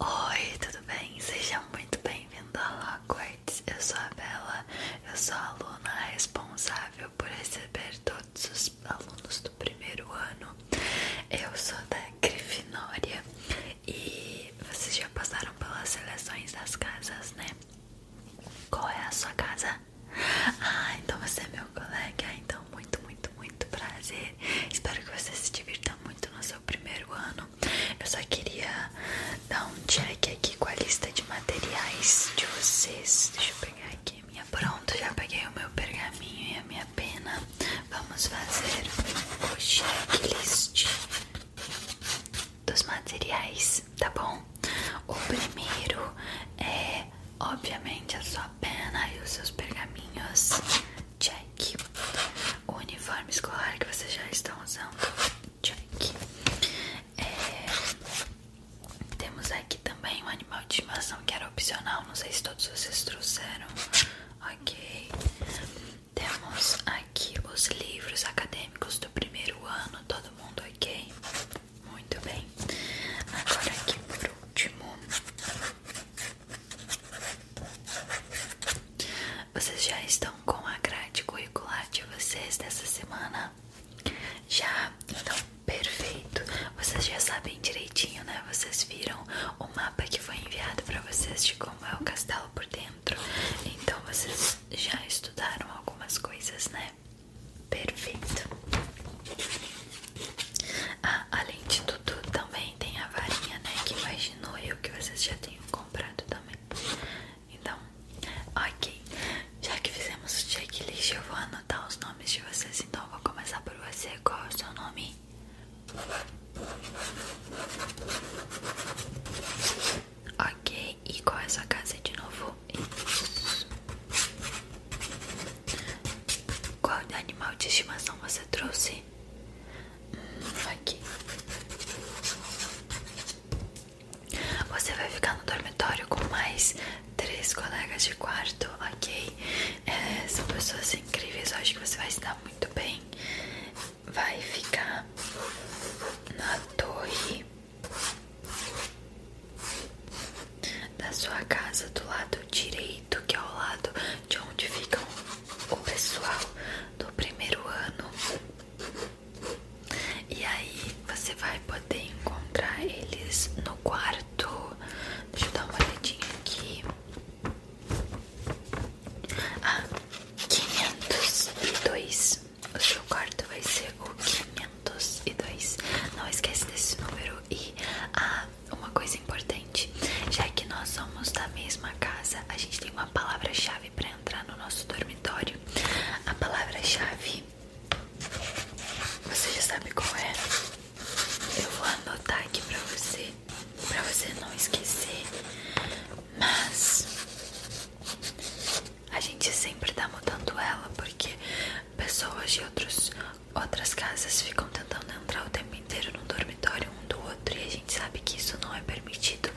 Oi, tudo bem? Seja muito bem-vindo ao Hogwarts. Eu sou a Bela, eu sou a aluna responsável por receber todos os alunos do primeiro ano. Eu sou da Grifinória e vocês já passaram pelas seleções das casas, né? Qual é a sua casa? Ah, então você é meu colega, então muito, muito muito, prazer. Espero que você se divirta muito no seu primeiro ano. Eu só queria dar um check aqui com a lista de materiais de vocês. Deixa eu pegar aqui a minha. Pronto, já peguei o meu pergaminho e a minha pena. Vamos fazer o checklist dos materiais, tá bom? O primeiro é, obviamente, a sua pena e os seus pergaminhos check. O uniforme escolar que vocês já estão usando, check. É, temos aqui também um animal de estimação que era opcional, não sei se todos vocês trouxeram. Ok. Temos aqui os livros acadêmicos do primeiro ano, todo mundo ok? Muito bem. Agora aqui por último vocês já estão com a grade curricular de vocês dessa semana? Já? Então, perfeito. Vocês já sabem direitinho, né? Vocês viram o mapa que foi enviado para vocês de como é o castelo por dentro. Então, vocês já estudaram algumas coisas, né? Perfeito. Ah, além de tudo, também tem a varinha, né? Que imaginou eu que vocês já tenham comprado também. Então, ok. Já que fizemos o checklist, eu vou anotar os nomes de vocês. Então, eu vou começar por você. Qual é o seu nome? Ok, e qual é a sua casa de novo? Qual animal de estimação você trouxe? aqui. Você vai ficar no dormitório com mais três colegas de quarto, ok? É, são pessoas incríveis, eu acho que você vai se dar muito bem. Vai ficar na torre da sua casa do lado direito, que é o lado de onde ficam o pessoal do primeiro ano. E aí você vai poder encontrar eles no quarto. Deixa eu dar uma olhadinha aqui. Ah, 502. O seu quarto vai ser o 502. Não esquece desse número. E a uma coisa importante, já que nós somos da mesma casa, a gente tem uma palavra-chave para entrar no nosso dormitório. A palavra-chave, você já sabe qual é? Eu vou anotar aqui para você, para você não esquecer. Mas a gente sempre está mudando ela porque pessoas de outros Outras casas ficam tentando entrar o tempo inteiro no dormitório um do outro e a gente sabe que isso não é permitido.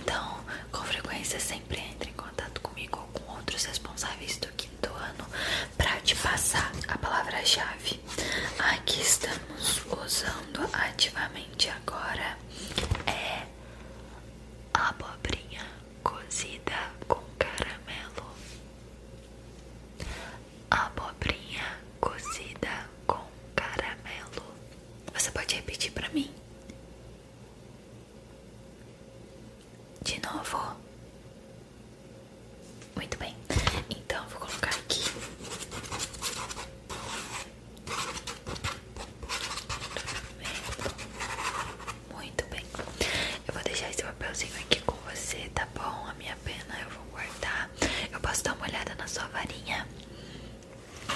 Então, com frequência, sempre entre em contato comigo ou com outros responsáveis do quinto ano para te passar a palavra-chave. Aqui estamos usando ativamente agora é abobrinha cozida com caramelo abobrinha cozida com caramelo. Você pode repetir para mim? De novo. Muito bem. Então vou colocar aqui. Muito bem. Eu vou deixar esse papelzinho aqui com você, tá bom? A minha pena eu vou guardar. Tá? Eu posso dar uma olhada na sua varinha?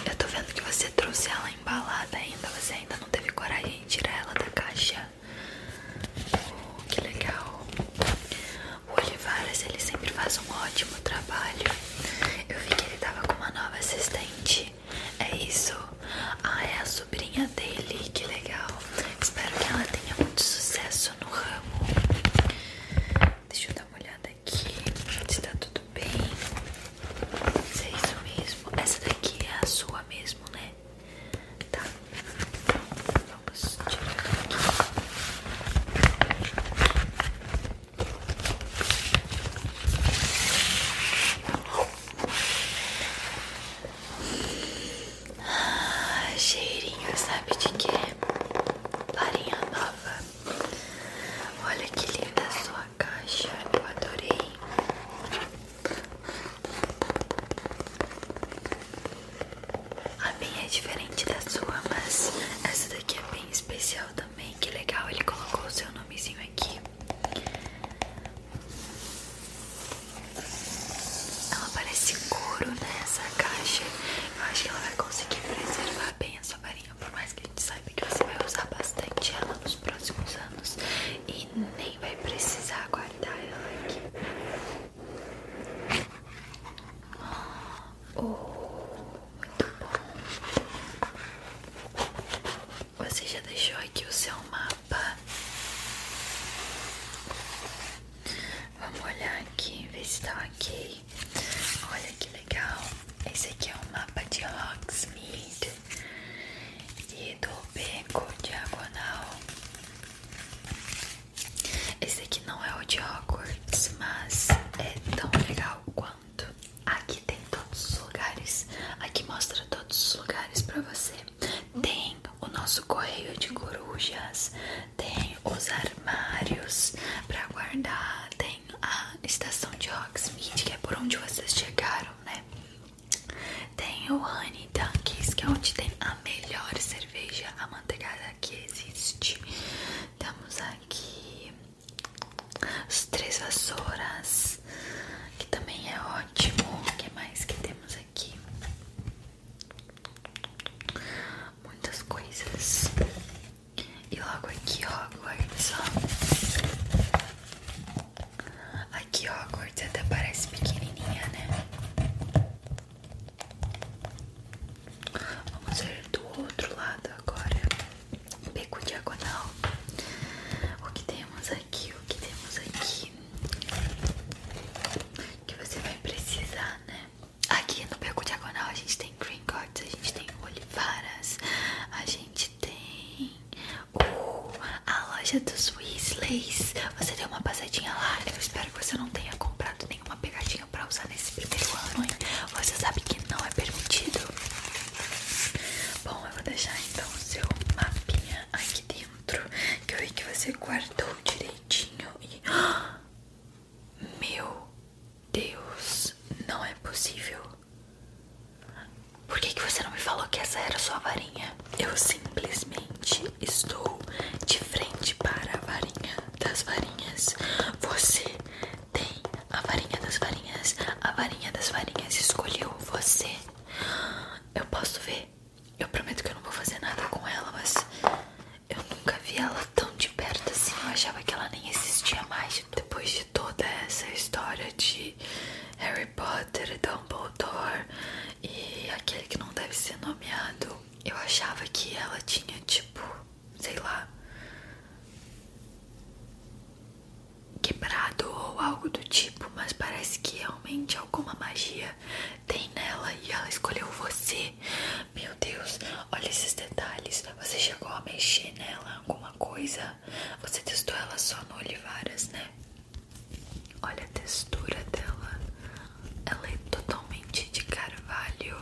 Eu tô vendo que você trouxe ela embalada ainda. Você ainda não teve coragem de tirar ela da caixa. Oh, que legal. O Olivares, ele sempre faz um ótimo trabalho. Eu vi que ele tava com uma nova assistente. É isso? Ah, é a sobrinha dele. Que legal. Espero que ela tenha muito sucesso no ramo. Deixa eu dar uma olhada aqui se tá tudo bem. é isso mesmo. Essa daqui é a sua mesmo, né? Tá. vamos tirar ah, cheirinho, sabe de quê? Farinha nova. Olha que linda a sua caixa. Eu adorei. A minha é diferente da sua, mas essa daqui é bem especial também. Que legal, ele colocou o seu nomezinho aqui. Ela parece couro, né? Essa caixa. Eu acho que ela vai conseguir preservar bem a sua varinha. Por mais que a gente saiba que você vai usar bastante ela nos próximos anos. E nem vai precisar guardar ela aqui. Oh, muito bom. Você já deixou aqui o seu mapa? Vamos olhar aqui, ver se tá ok. Olha que legal. Esse aqui é um mapa de Hogsmeade e do beco diagonal. Esse aqui não é o de Hogwarts, mas é tão legal quanto. Aqui tem todos os lugares. Aqui mostra todos os lugares para você. Tem o nosso correio de corujas, tem os armários para guardar, tem a estação de Hogsmeade, que é por onde vocês chegaram, né? Tem o Honey Dunkies, que é onde tem a melhor cerveja amanteigada que existe. Temos aqui os Três Vassouras, que também é ótimo. O que mais que temos aqui? muitas coisas. E logo aqui, ó Hogwarts, ó. Aqui, ó Hogwarts até parece pequenininha, né? Vamos ver do outro lado agora. Beco diagonal. O que temos aqui? O que temos aqui? Que você vai precisar, né? Aqui no Beco Diagonal a gente tem green cords, a gente tem olivaras, a gente tem a loja dos Weasleys. Você deu uma passadinha lá. Eu espero que você não tenha comprado nenhuma pegadinha pra usar nesse primeiro ano, Você sabe que não é permitido. Bom, eu vou deixar então o seu mapinha aqui dentro, que eu vi que você guardou direito e. Meu Deus, não é possível. Por que, que você não me falou que essa era sua varinha? Eu simplesmente estou de frente para a varinha das varinhas. Você tem a varinha das varinhas. A varinha das varinhas escolheu você. Eu posso ver eu prometo que eu não vou fazer nada com ela, mas eu nunca vi ela tão de perto assim. Eu achava que ela nem existia mais. Depois de toda essa história de Harry Potter, Dumbledore e aquele que não deve ser nomeado, eu achava que ela tinha tipo, sei lá, quebrado ou algo do tipo, mas parece que realmente alguma magia tem nela e ela escolheu você. Meu Deus, olha esses detalhes. Você chegou a mexer nela alguma coisa? Você testou ela só no Olivaras, né? Olha a textura dela. Ela é totalmente de carvalho.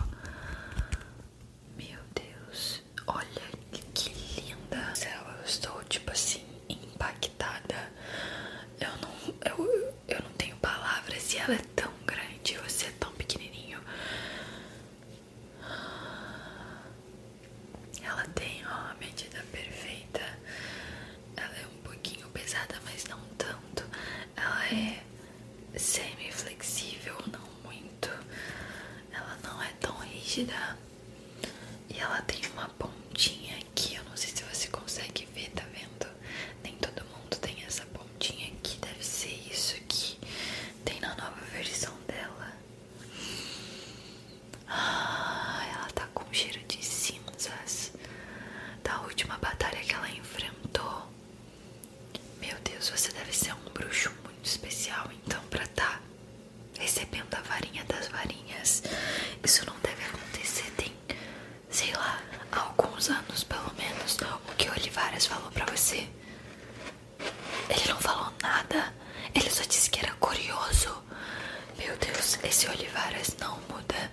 Meu Deus, olha que, que linda. Eu estou tipo assim impactada. Eu não eu, eu não tenho palavras e ela é tão grande, você é tão pequenininho. Ela tem ó, a medida perfeita. Ela é um pouquinho pesada, mas não tanto. Ela é semi-flexível, não muito. Ela não é tão rígida. E ela tem uma pontinha aqui, eu não sei se você consegue ver, tá vendo? Nem todo mundo tem essa pontinha aqui, deve ser isso que tem na nova versão dela. Ah, ela tá com cheiro de cinzas da última batalha que ela enfrentou. Meu Deus, você deve ser um bruxo muito especial, então, pra tá recebendo a varinha das varinhas. Isso não deve acontecer, tem sei lá, há alguns anos pelo menos, o que Olivares falou pra você. Ele não falou nada, ele só disse que era curioso. Meu Deus, esse Olivares não muda.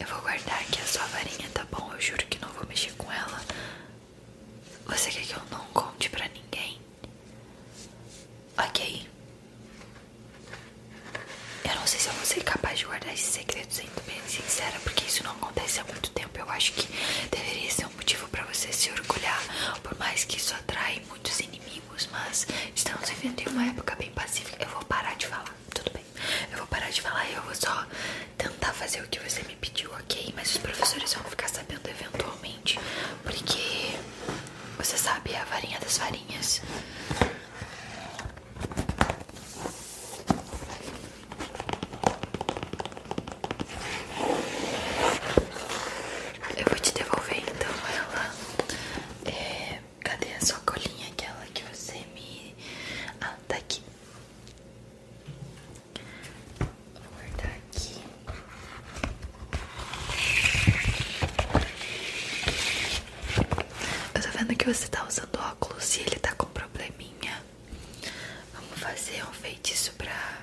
Eu vou guardar aqui a sua varinha, tá bom? Eu juro que não vou mexer com ela. Você quer que eu não conte pra ninguém? Ok. Eu não sei se eu vou ser capaz de guardar esse segredo, sendo bem sincera, porque isso não acontece há muito tempo. Eu acho que deveria ser um motivo para você se orgulhar, por mais que isso atrai muitos inimigos, mas estamos vivendo em uma época bem pacífica. Eu vou parar de falar, tudo bem. Eu vou parar de falar e eu vou só tentar fazer o que você me pediu, ok? Mas os professores vão ficar sabendo eventualmente porque você sabe a varinha das varinhas. Eu vou te devolver então ela. É, cadê a sua colinha? Aquela que você me. Ah, tá aqui. Vou guardar aqui. Eu tô vendo que você tá usando óculos e ele tá com probleminha. Vamos fazer um feitiço pra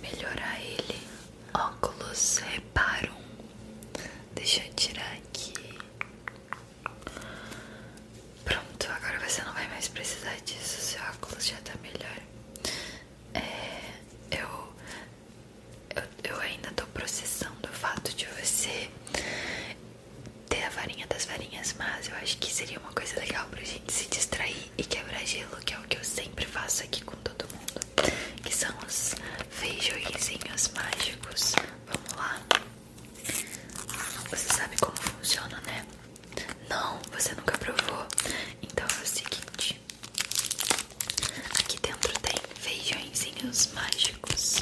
melhorar ele. Óculos reparo. Deixa eu tirar aqui. Pronto, agora você não vai mais precisar disso. Seu óculos já tá melhor. É, eu eu, ainda tô processando o fato de você ter a varinha das varinhas, mas eu acho que seria uma coisa legal pra gente se distrair e quebrar gelo, que é o que eu sempre faço aqui com todo mundo, que são os feijoizinhos mágicos. Vamos lá. Você sabe como funciona, né? Não, você nunca provou. Então é o seguinte. Aqui dentro tem feijõezinhos mágicos.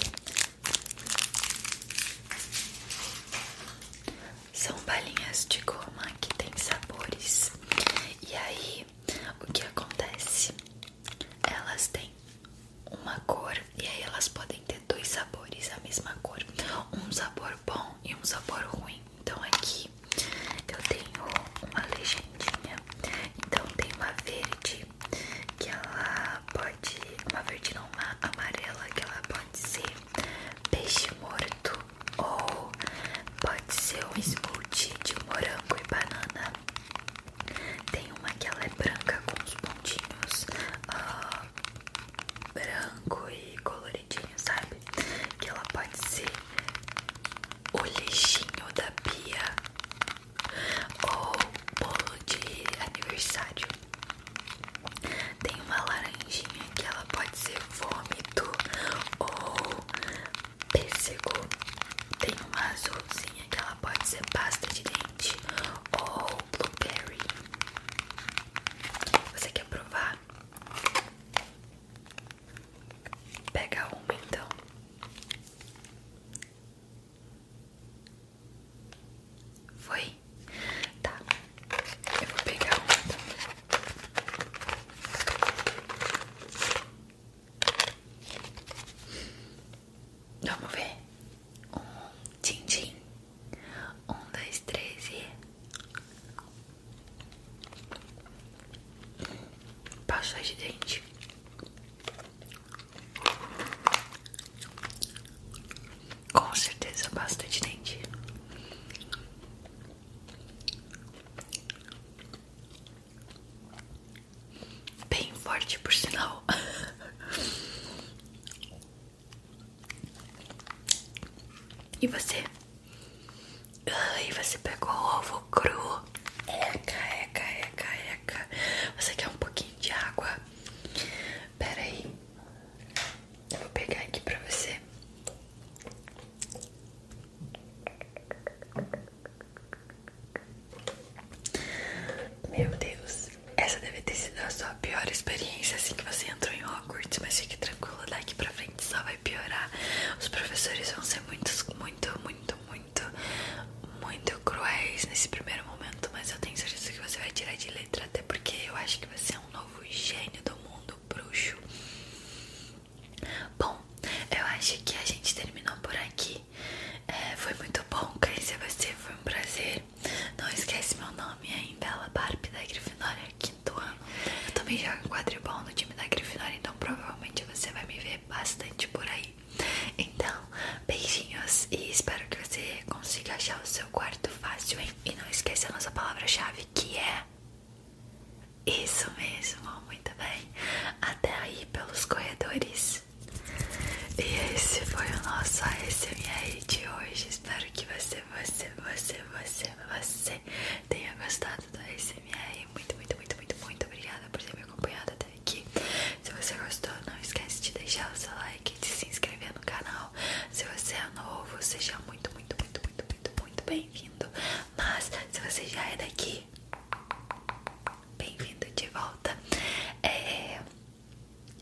São balinhas de goma que tem sabores. E aí, o que acontece? Elas têm uma cor e aí elas podem ter dois sabores, a mesma cor. Um sabor bom e um sabor ruim. Então aqui eu tenho uma legendinha. Então tem uma verde que ela pode. Uma verde não, uma amarela que ela pode ser peixe morto ou pode ser um smoothie de morango e banana. Tem uma que ela é branca com os pontinhos ah, branco e coloridinho, sabe? Que ela pode ser o lixinho da pia ou bolo de aniversário. Tem uma laranjinha que ela pode ser vômito ou pêssego. Tem uma azulzinha que ela pode ser pasta de dente ou blueberry. Você quer provar? Pega uma então. Foi? Tá. Eu vou pegar uma então. Vamos ver. Um, tchim, Um, dois, três Pasta de dente. Com certeza pasta de dente. Bem forte, por sinal. e você? Ai, você pegou o ovo cru. Eca, eca, eca, eca. Você quer um pouquinho de água? Pera aí. Eu vou pegar aqui pra você. Meu Deus, essa deve ter sido a sua pior experiência assim que você entrou em Hogwarts, mas fique tranquila, daqui pra frente só vai piorar. Os professores vão ser muito, muito muito, muito, muito, muito cruéis nesse primeiro momento, mas eu tenho certeza que você vai tirar de letra, até porque eu acho que você é um novo gênio do mundo bruxo. Bom, eu acho que a gente terminou por aqui. É, foi muito bom conhecer você, foi um prazer. Não esquece meu nome ainda, é Barbie da Grifinória, quinto ano. Eu também jogo em quadribol no da Grifinória, então provavelmente você vai me ver bastante por aí. Então, beijinhos e espero que você consiga achar o seu quarto fácil, E não esqueça a nossa palavra-chave que é. Isso mesmo, muito bem. Até aí pelos corredores. E esse foi o nosso ASMR de hoje. Espero que você, você, você, você, você tenha gostado da SMR. Muito, muito, muito, muito, muito obrigada por ter me acompanhado até aqui. Se você gostou, não esquece de deixar o seu like e de se inscrever no canal. Se você é novo, seja muito, muito, muito, muito, muito, muito bem-vindo. Mas se você já é daqui, bem-vindo de volta. É,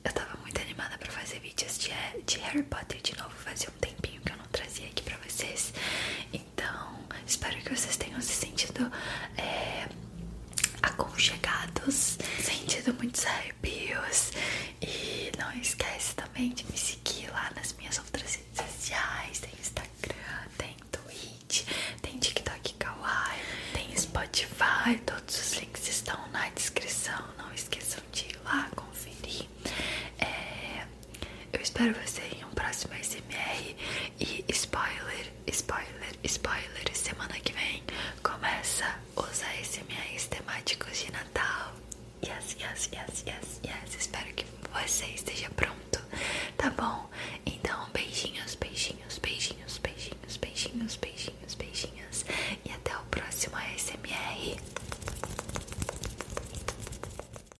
eu tava muito animada pra fazer vídeos de, de Harry Potter de novo. Fazia um tempinho que eu não trazia aqui pra vocês. Então, espero que vocês tenham se sentido é, aconchegados, sentido muitos arrepios. E não esquece também de me seguir lá nas minhas outras redes sociais: tem Instagram, tem Twitch, tem TikTok Kawaii, tem Spotify. Todos os links estão na descrição. Não esqueçam de ir lá conferir. É, eu espero você em um próximo SMR e spoiler, spoiler, spoiler, semana que vem começa os ASMRs temáticos de Natal. Yes, yes, yes, yes, yes. Espero que você esteja pronto, tá bom? Então, beijinhos, beijinhos, beijinhos, beijinhos, beijinhos, beijinhos, beijinhos. E até o próximo ASMR.